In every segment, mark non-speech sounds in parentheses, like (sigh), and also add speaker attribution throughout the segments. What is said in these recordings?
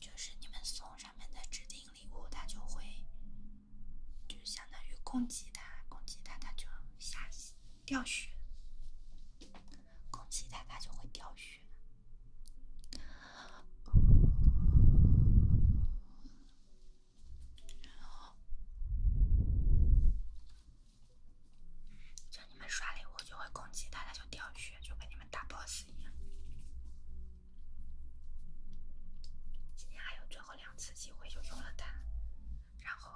Speaker 1: 就是你们送上面的指定礼物，他就会。就相当于攻击他，攻击他，他就下掉血。攻击他，他就会掉血。然后叫你们刷礼物，就会攻击他，他就掉血，就跟你们打 boss 一样。今天还有最后。两次机会就用了它，然后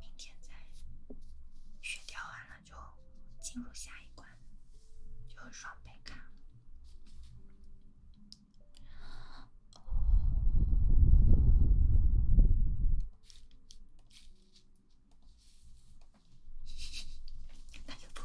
Speaker 1: 明天再血掉完了就进入下一关，就双倍卡 (laughs) 那就不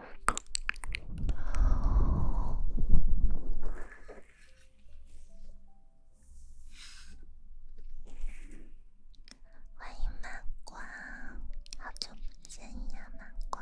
Speaker 1: 欢迎芒果，好久不见呀，芒果。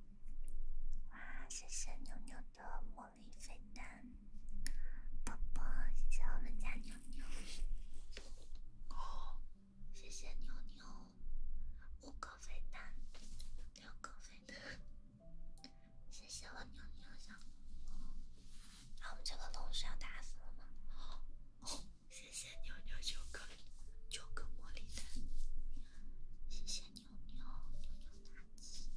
Speaker 1: 哇，谢谢牛牛的魔力飞弹，宝宝，谢谢我们家牛牛，哦，谢谢牛牛，五个飞弹，六个飞弹，谢谢我牛牛小，那我们这个龙是要打死了吗？(laughs) 谢谢妞妞，九个九个茉莉。弹，谢谢妞妞，妞妞大气，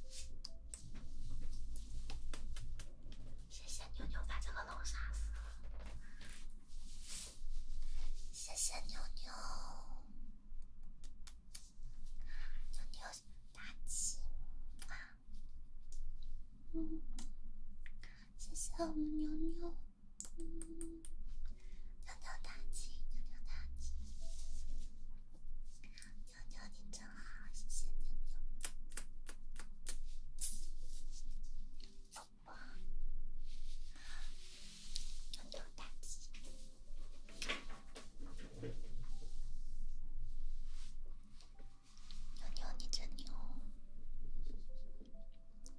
Speaker 1: 谢谢妞妞把这个楼杀死了，谢谢妞妞。妞妞大气，谢谢我们妞妞。牛牛大吉，牛牛大吉，牛牛你真好，谢谢牛牛，宝宝，牛牛大吉，牛牛你真牛。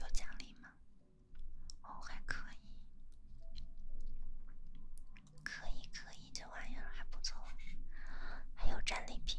Speaker 1: 有奖励吗？哦，还可以，可以可以，这玩意儿还不错，还有战利品。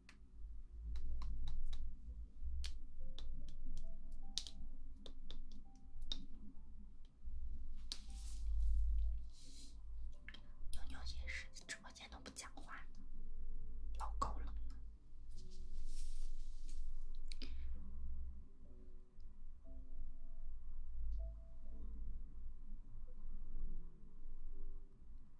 Speaker 1: 牛牛也是，直播间都不讲话老高冷了。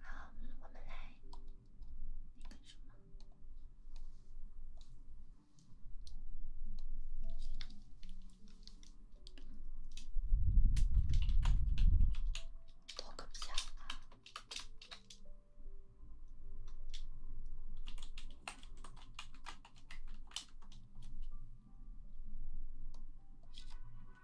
Speaker 1: 好，我们来那个什么，多个比较。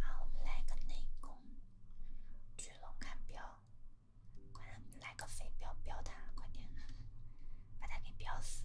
Speaker 1: 好，我们来个内功，巨龙看标，快让来个飞镖标他，快点，把他给标死。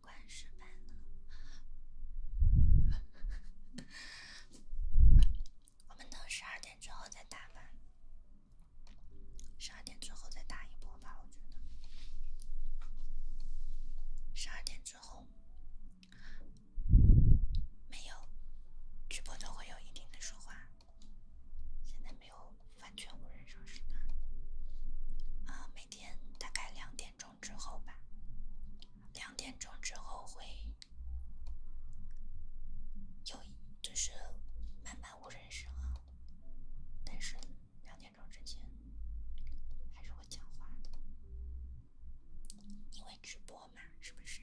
Speaker 1: 关设备呢？我们等十二点之后再打吧。十二点之后再打一波吧，我觉得。十二点之后没有，直播都会有一定的说话。现在没有完全无人状态。啊，每天大概两点钟。之后吧，两点钟之后会有，就是慢慢无人声。但是两点钟之前还是会讲话的，因为直播嘛，是不是？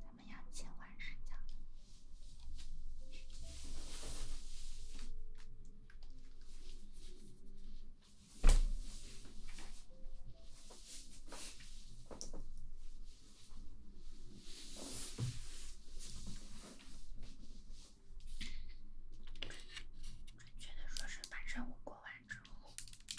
Speaker 1: 咱们要切换视角。准确的说，是把任务过完之后。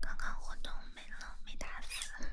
Speaker 1: 刚刚活动没了，没打死。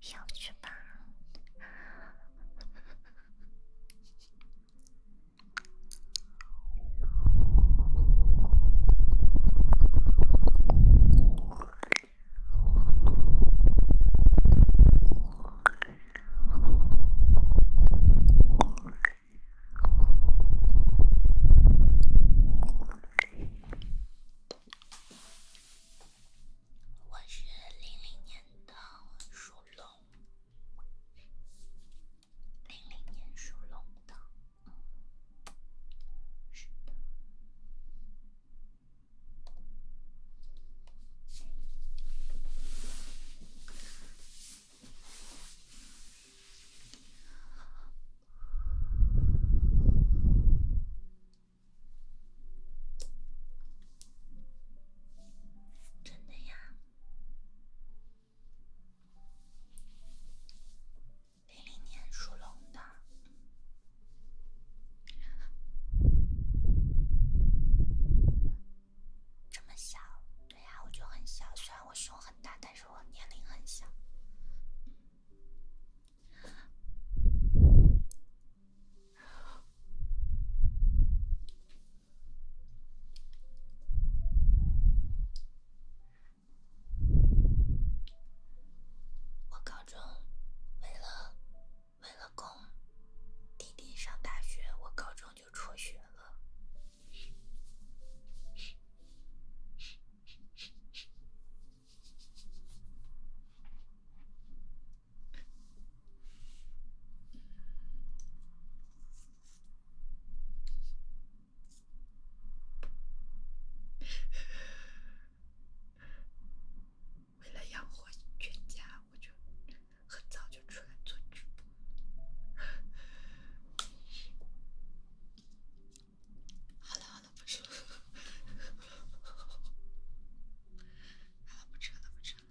Speaker 1: 下去吧。我是零零年的属龙，零零年属龙的。真的呀，零零年属龙的，这么小？对呀，我就很小，虽然我胸很大，但是我年龄很小。我高中为了为了供弟弟上大学，我高中就辍学了。为了养活全家，我就很早就出来做直播。好了好了，不吃了，好了不吃了不吃了。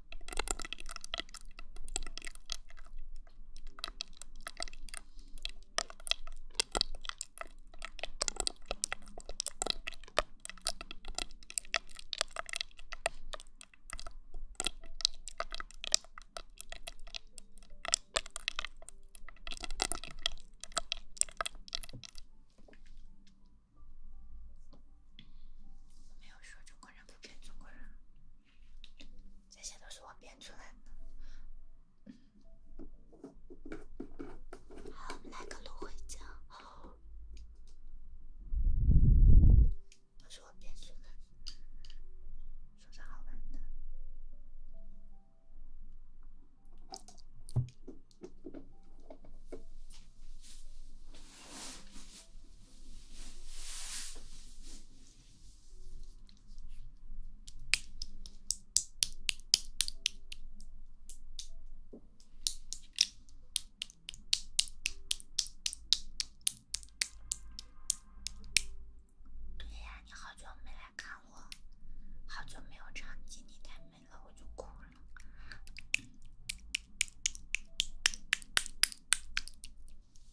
Speaker 1: 没有说中国人不骗中国人。这些都是我编出来的。好，来个芦荟胶，都是我编出来的，说点好玩的。对呀，你好久没来看我，好久没有唱，今天太美了，我就哭了。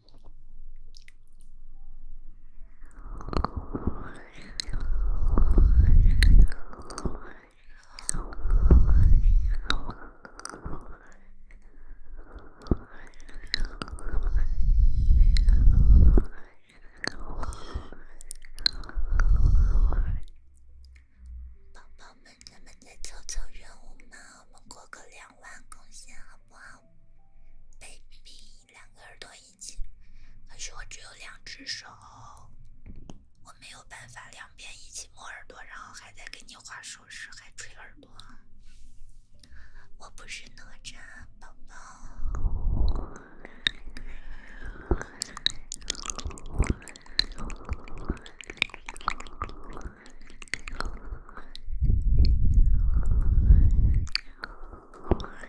Speaker 1: 宝宝们，咱们再凑凑任务嘛，我过个两万贡献好不好，baby？两个耳朵一起，可是我只有两只手，我没有办法两边一起摸耳朵，然后还在给你画手势，还吹耳朵。我不是哪吒，宝宝。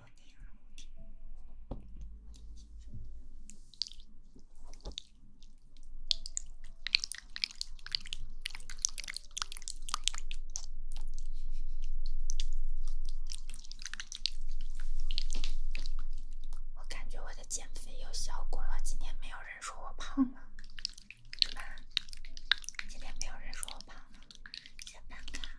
Speaker 1: 我感觉我的减肥有效果了，今天没有人说我胖了，对吧？今天没有人说我胖了，下班了。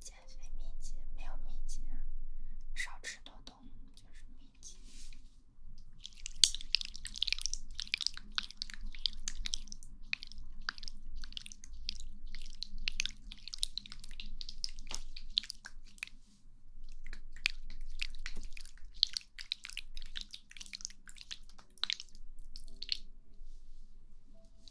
Speaker 1: 减肥秘籍没有秘籍啊，少吃多动就是秘籍。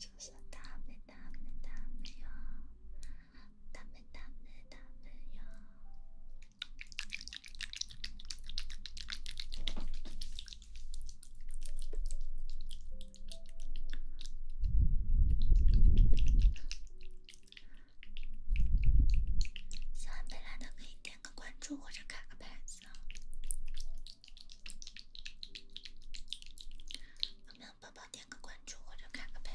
Speaker 2: 就是大美，大美，大美哟，大美，大美，大美哟。喜欢贝栏的可以点个关注或者开个牌子啊。有没有宝宝点个关注或者卡个牌？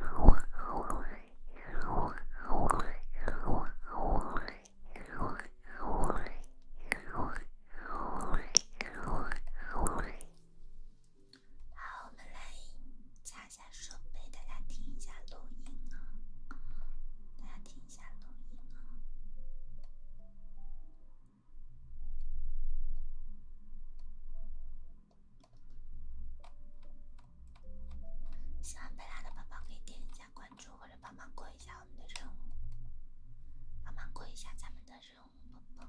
Speaker 1: 好，我们来擦下手，给大家听一下录音啊，大家听一下录音啊。喜欢贝拉的宝宝可以点一下关注，或者帮忙过一下我们的任务，帮忙过一下咱们的任务，宝宝。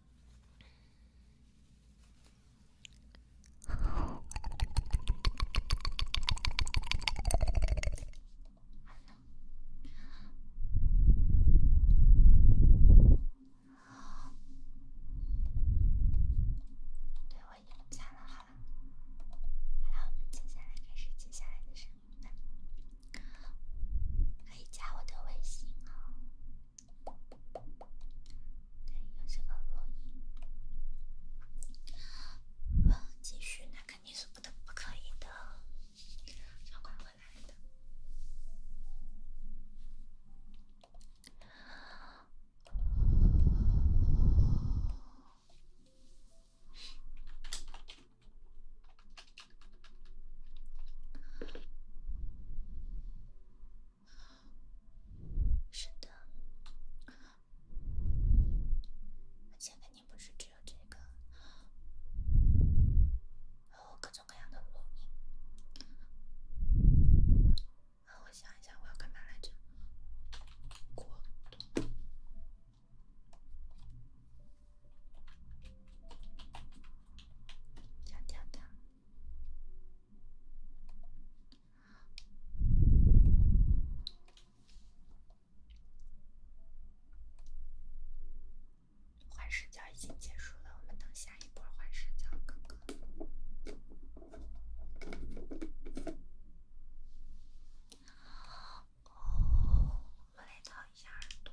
Speaker 1: 对我已经想了，好了，好了，我们接下来开始接下来的视频。可以加我的微信哦。对，有这个录音。继续，那肯定是不得不可以的，要快会来的。是的，现在你不是只有这个，还有各种各样的我。我想一下，我要干嘛来着？过度。跳跳换视角已经结束了，我们等下一波换视角，哥哥。我来掏一下耳朵。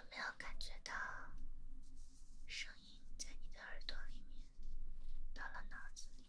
Speaker 1: 有没有感觉到声音在你的耳朵里面到了脑子？里。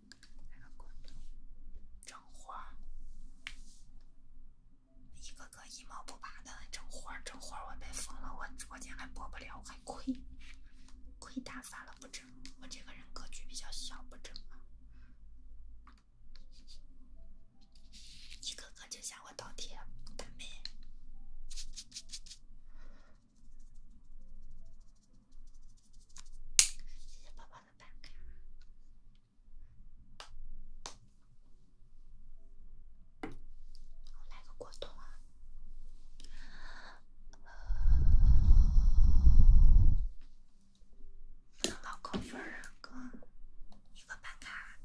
Speaker 1: 那个滚筒，整活儿，一个个一毛不拔的整活整活我被封了，我直播间还播不了，我还亏，亏大发了，不整，我这个人格局比较小，不整了，一个个就向我倒贴，干杯。谢谢宝宝。半个呀，我来个果冻啊！老扣分儿啊哥，一个办卡，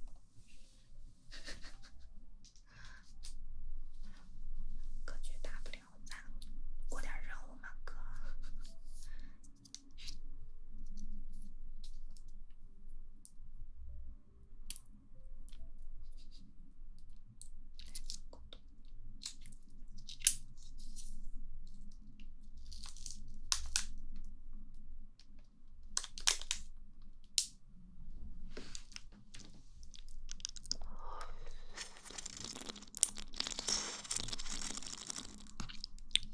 Speaker 1: (laughs) 格局大不了。咱过点任务嘛，哥。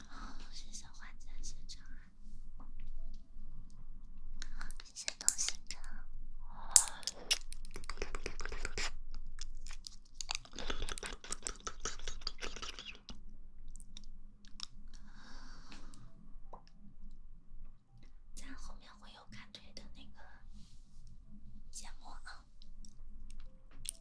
Speaker 1: 好，谢谢花姐，谢谢啊。好，谢谢东西哥。咱后面会有看腿的那个节目啊。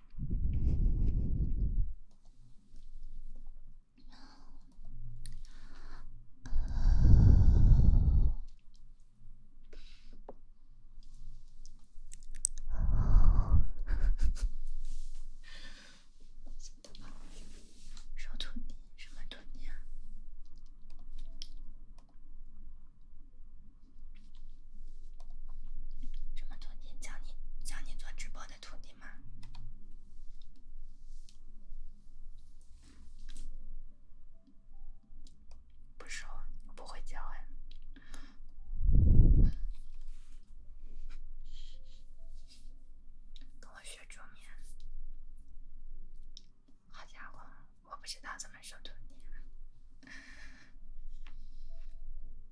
Speaker 1: 什么托尼啊？什么徒弟教你教你做直播的徒弟吗？不收，我不会教呀。跟我学桌面。好家伙，我不知道怎么收徒弟。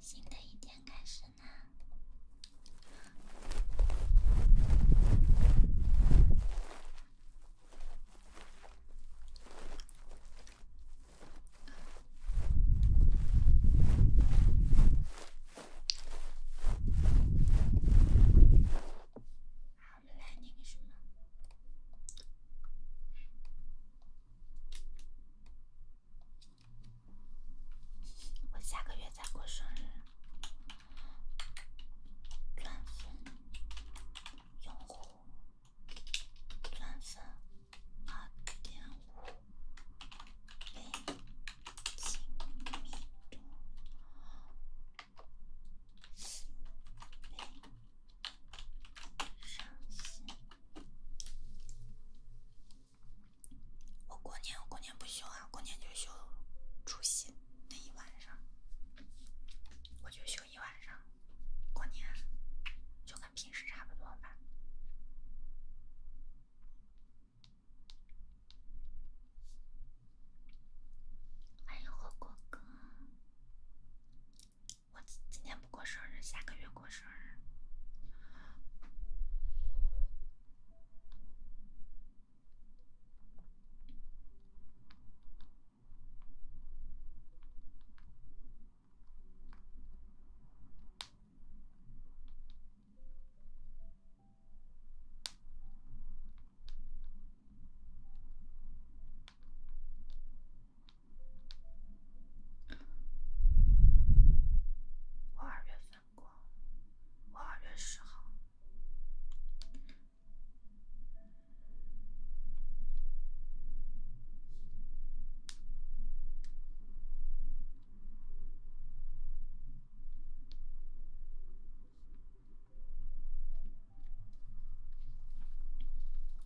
Speaker 1: 新的一天开始啦！我们来那个什么，我下个月再过生日，钻粉用户钻粉二点五倍亲伤心。我过年，过年不休啊！过年就休除夕那一晚上，我就休一晚上。过年就跟平时差不多吧。欢迎火锅哥，我今今天不过生日，下个月过生日。我二月份过，我二月十号。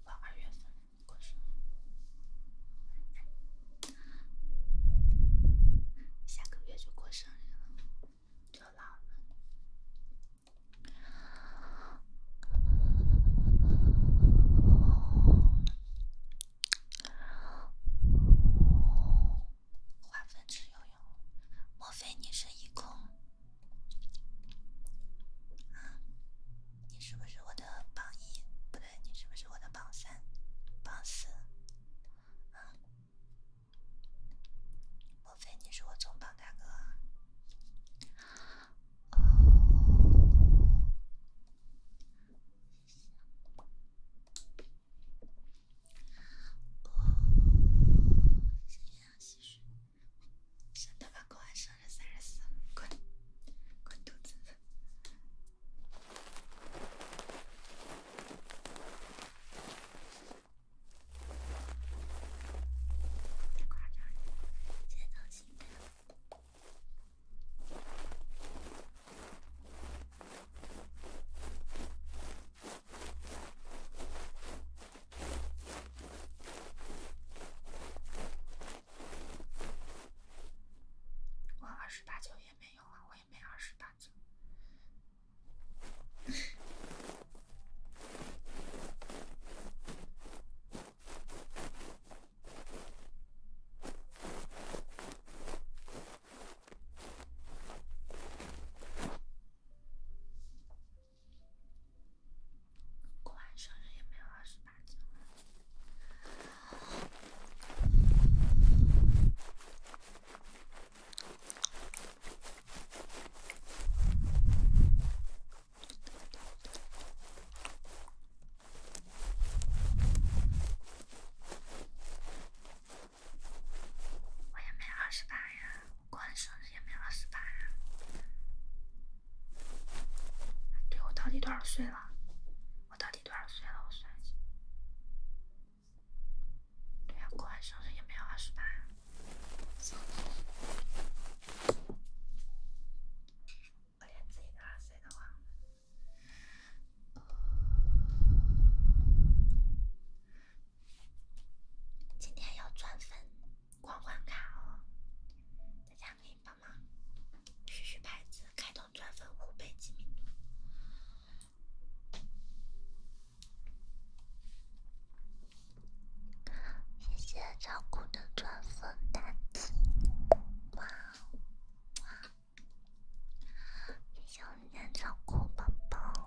Speaker 1: 我二月份过生日，下个月就过生日了，就老了。划分池游泳，莫非你是一空？你是不是我的榜一？不对，你是不是我的榜三、榜四？莫非你是我总榜大哥？哦。上太阳吸水，上头发光，生日三十四，滚，滚犊子！别夸张，节奏轻。我二十八九也没有啊，我也没二十八九。过完生日也没有二十八字，我也没二十八呀。过完生日也没有二十八呀！对，我到底多少岁了？我到底多少岁了？我算一下。对呀，过完生日也没有二十八。我连自己少岁都忘了。今天要钻粉光环卡哦，大家可以帮忙续续牌子，开通钻粉五倍机密度。谢谢照顾的钻粉大珠，哇哦！谢谢我们照顾宝宝。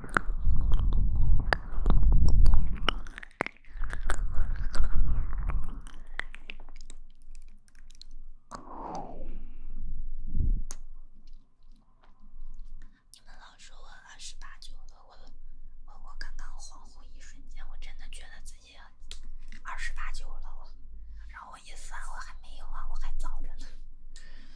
Speaker 1: 你们老说我二十八九了，我我我刚刚恍惚一瞬间，我真的觉得自己二十八九了，我，然后我一算，我还没有啊，我还早着呢。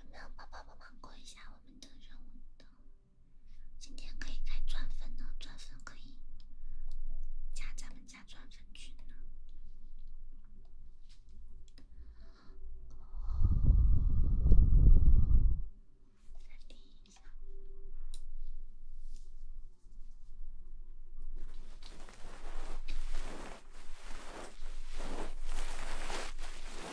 Speaker 1: 有没有宝宝帮忙过一下我们的任务的？今天可以开钻粉了，钻粉可以加咱们家钻粉群了。三零。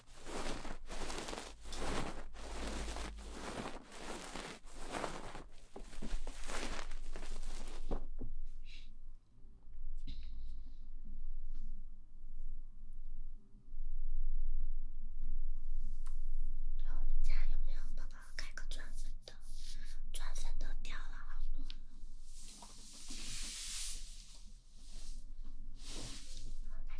Speaker 1: 我们家有没有宝宝开个钻粉的？钻粉都掉了好多。开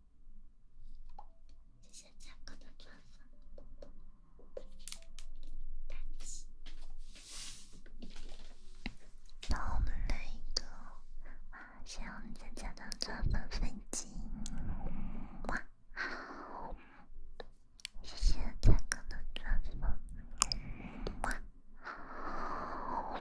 Speaker 1: 谢谢彩哥的钻粉。那我们来一个，谢谢我们彩哥的钻粉飞机，哇，谢谢彩哥的钻粉。哇，好！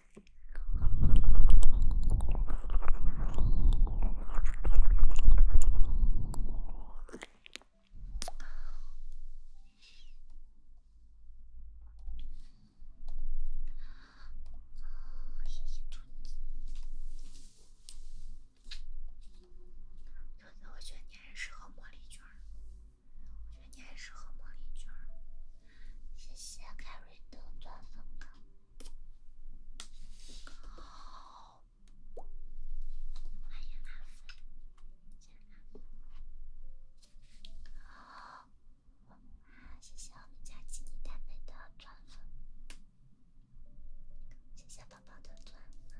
Speaker 1: 我觉得你适合茉莉娟我觉得你适合谢谢凯瑞的钻粉好，哎呀阿福，真好！好，哇，谢谢我们家精灵大美的钻粉，谢谢宝宝的钻粉，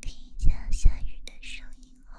Speaker 1: 听一下下雨的声音哦。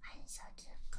Speaker 1: 欢迎小智哥，小智哥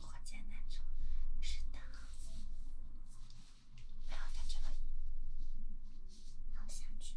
Speaker 1: 火箭男宠，是的，没有他这个，能下去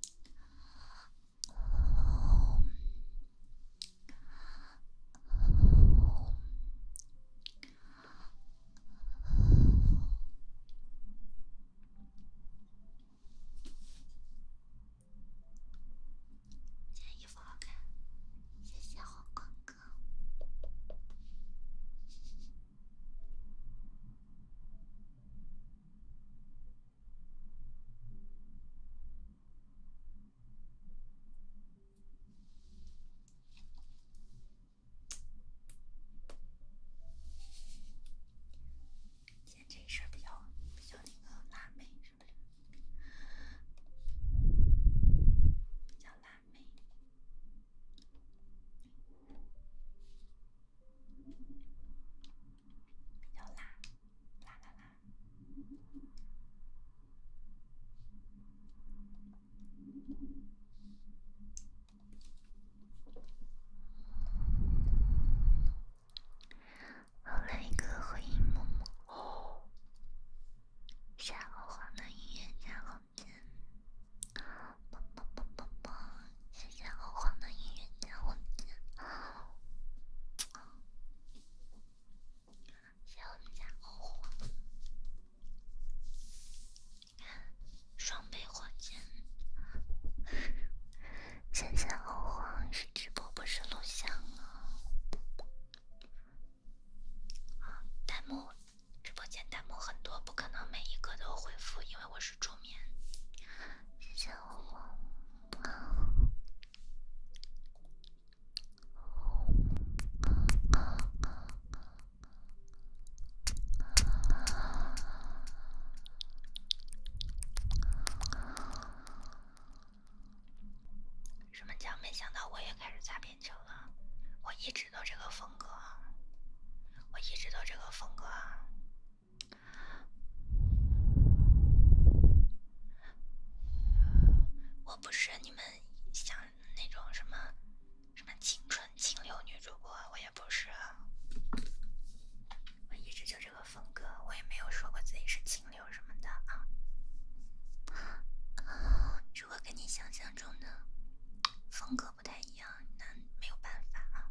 Speaker 1: 这件衣服好看，谢谢黄光哥。今天这一身比较比较那个辣妹，是不是？比较辣妹。比较辣，辣辣辣。我来一个回应，默默。下黄的音乐加房间。谢谢欧皇的音乐火谢谢我们家欧皇，你看双倍火箭！谢谢欧皇是直播不是录像啊！弹幕直播间弹幕很多，不可能每一个都回复，因为我是助眠。谢谢红红。什么叫没想到我也开始擦边球了？我一直都这个风格，我一直都这个风格我不是你们想那种什么什么青春清流女主播，我也不是。我一直就这个风格，我也没有说过自己是清流什么的啊。如果跟你想象中的风格不太一样，那没有办法啊。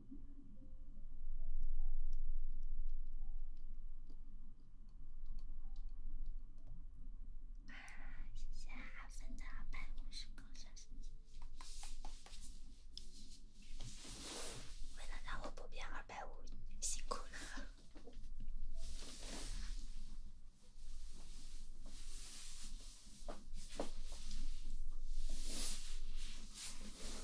Speaker 1: 谢谢阿芬的二百五个为了让我不变二百五，辛苦了。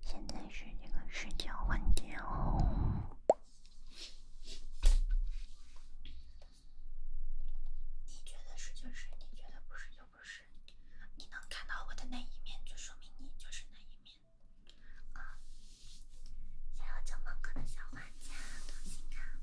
Speaker 1: 现在是这个时间问题哦。你觉得是就是，你觉得不是就不是。你能看到我的那一面，就说明你就是那一面。啊！想要九毛哥的小画家，多心啊！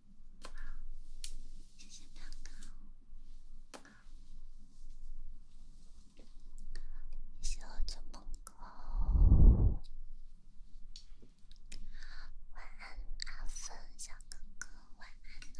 Speaker 2: 谢谢哥谢我个梦哥。晚安阿芬小哥哥，晚安呢。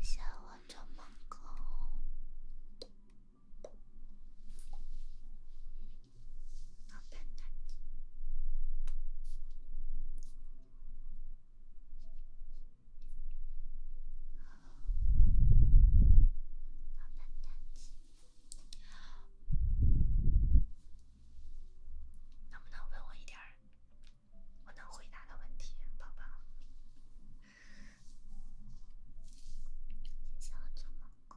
Speaker 1: 谢谢我这么狗。能不能问我一点儿我能回答的问题，宝宝？叫我做梦狗。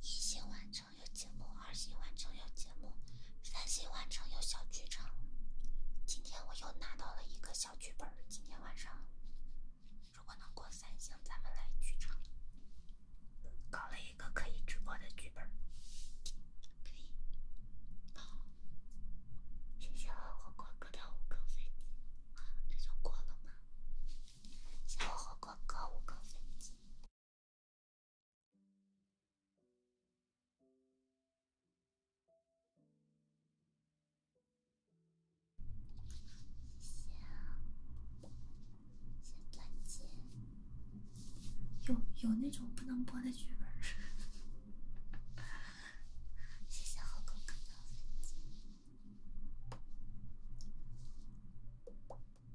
Speaker 1: 一星完成有节目，二星完成有节目，三星完成有小剧场。今天我又拿到了一个小剧本，今天晚上如果能过三星，咱们来剧场搞了一个可以直播的剧本。可以。谢谢我火锅哥的五颗机，这就过了吗？谢谢何哥哥五个飞
Speaker 2: 机。谢谢，
Speaker 1: 谢谢再见。有有那种不能播的剧本。谢谢何哥哥的飞机。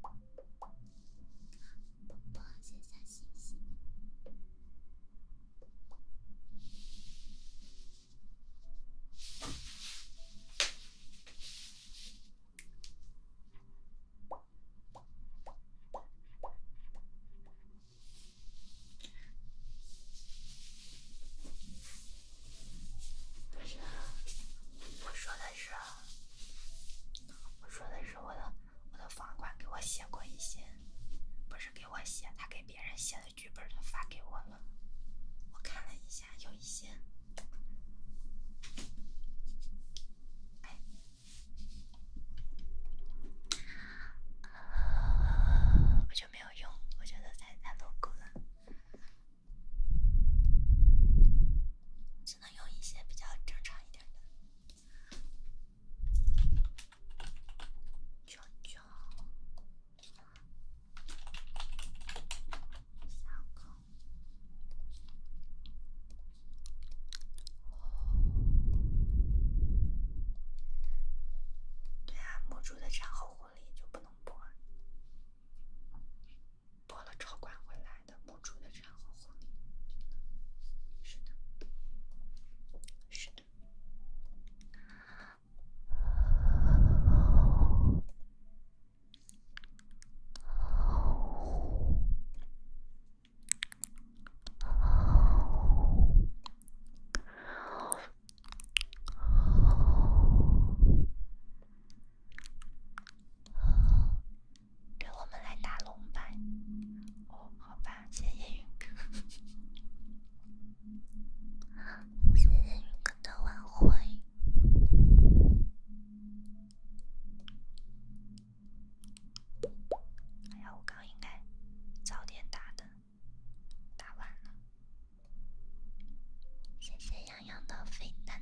Speaker 1: 宝宝，小星星。不是，啊，我说的是，我说的是我的我的房管给我写过一些，不是给我写，他给别人写的剧本儿都发给我了，我看了一下，有一些，哎，我就没有用，我觉得太太露骨了。只能用一些比较正常一点的。对啊，的产后护理就不能播。播了超管回来的母猪的产后护理，是的，是的。让我们来打龙吧。哦，好吧，谢谢雨哥。谢谢雨哥的晚会。哎呀，我刚应该早点打的，打晚了。谢谢洋洋的飞弹。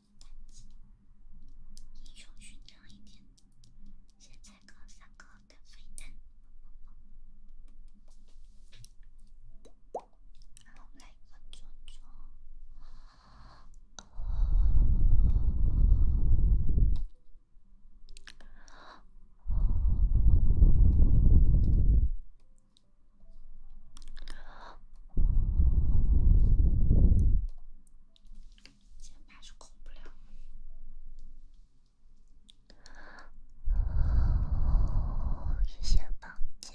Speaker 1: 点击英雄勋章一点，先拆个三个跟飞弹，然后来一个猪肩膀是空不了。肩膀肩。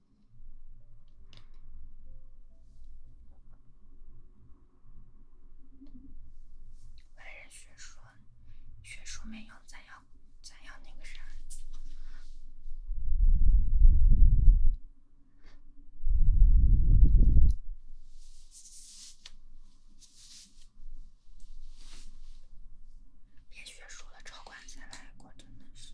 Speaker 1: 来人学说，学说没要，咱要，咱要那个啥。别学输了，超管材来我真的是。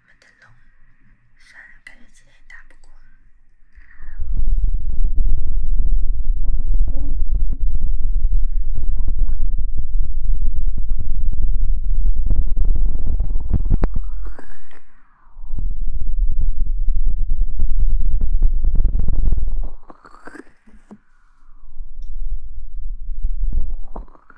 Speaker 1: 没得喽，算了，感觉今天打不过。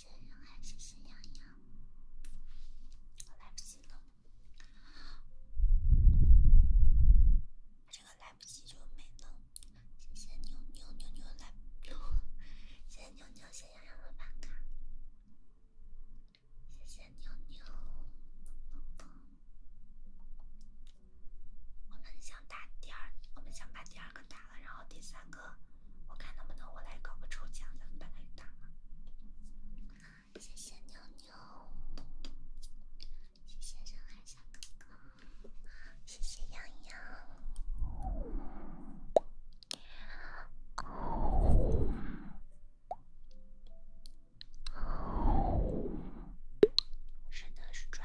Speaker 1: 还是杨洋。我来不及了，这个来不及就没了。谢谢妞妞妞妞，来了。谢谢妞，牛谢羊羊的办卡，谢谢妞妞。我们想打第二，我们想把第二个打了，然后第三个，我看能不能我来搞个抽奖，咱们把它给打了。谢谢妞妞，谢谢上海小哥哥，谢谢洋洋。是的，是砖。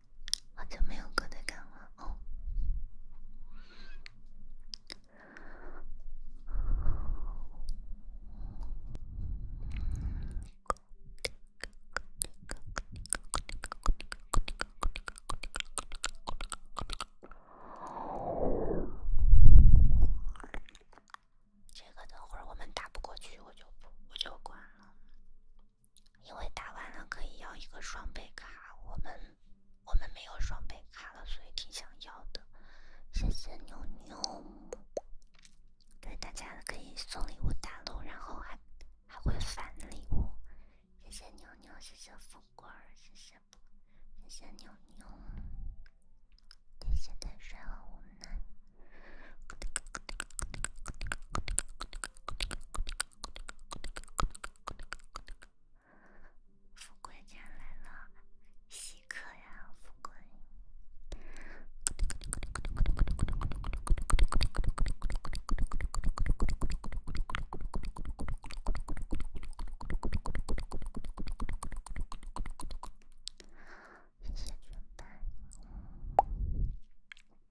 Speaker 1: 好久没有歌在看了哦？这个等会儿我们打不过去，我就不，我就关了。因为打完了可以要一个双倍卡，我们我们没有双倍卡了，所以挺想要的。谢谢牛牛，对大家可以送礼物打龙，然后还还会返礼物。谢谢牛牛，谢谢富贵，谢谢，谢谢牛牛，谢谢淡水和无奈。富贵家来了，稀客呀，富贵。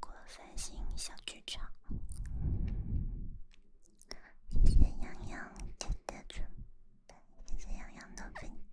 Speaker 1: 过三星小剧场，谢谢洋洋谢洋洋的洋洋的动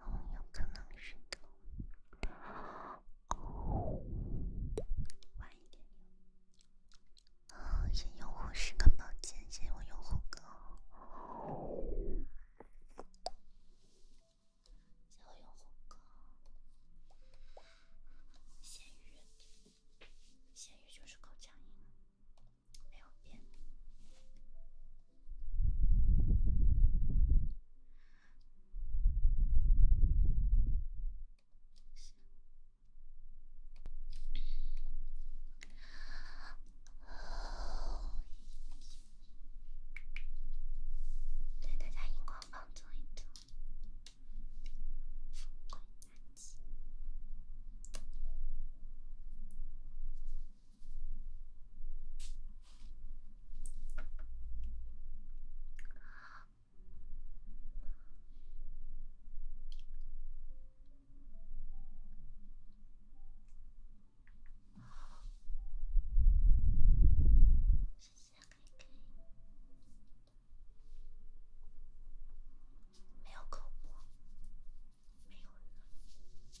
Speaker 1: 哦，有可能是。哦，晚一点。哦，先用户十个宝剑，新我用户哥，新我用户哥，咸鱼，咸鱼就是高价，没有变。对，大家荧光棒做一做。好，谢谢开开，没有口播，没有。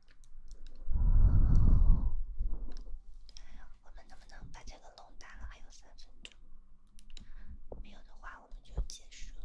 Speaker 1: 我们能不能把这个龙打了？还有三分钟，没有的话我们就结束了。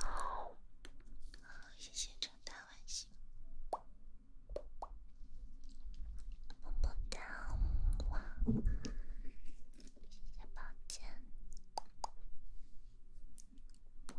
Speaker 1: 好，谢谢长大外星。么么哒，哇！抱歉，哇。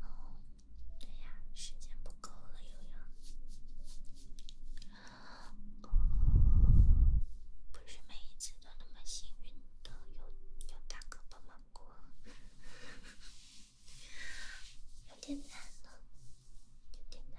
Speaker 1: 哦，对呀，时间不够了，悠悠。不是每一次都那么幸运的有有大哥帮忙过，有点难了，有点难。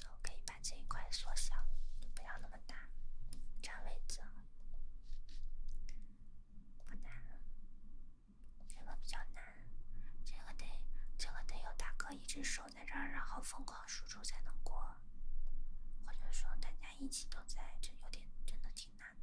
Speaker 1: 然后可以把这一块缩小，不要那么大，占位置。不难，这个比较难，这个得，这个得有大哥一直守在这儿，然后疯狂输出才能过，或者说大家一起都在，这有点真的挺难的。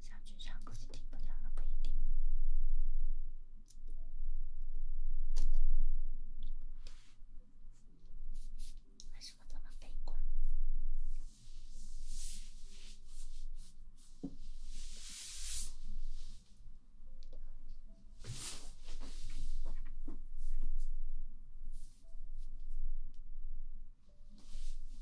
Speaker 1: 想去唱，估计听不了了，不一定。为什么这么悲观？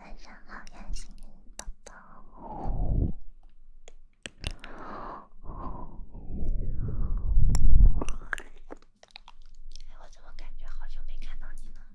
Speaker 1: 晚上好呀，心怡宝宝。哎，我怎么感觉好久没看到你了？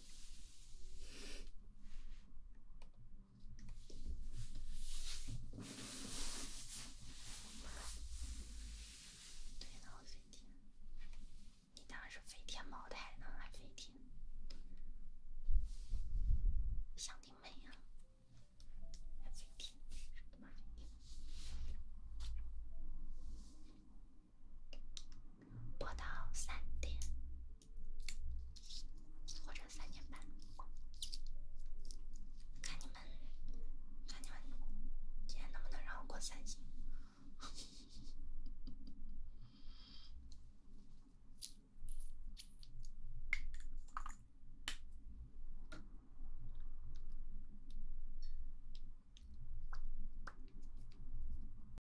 Speaker 1: 对呢，飞天。你当然是飞天茅台呢，还飞天？想得美呀！飞天，我的妈！播到三点，或者三点半，看你们，看你们今天能不能让我过三星。(laughs)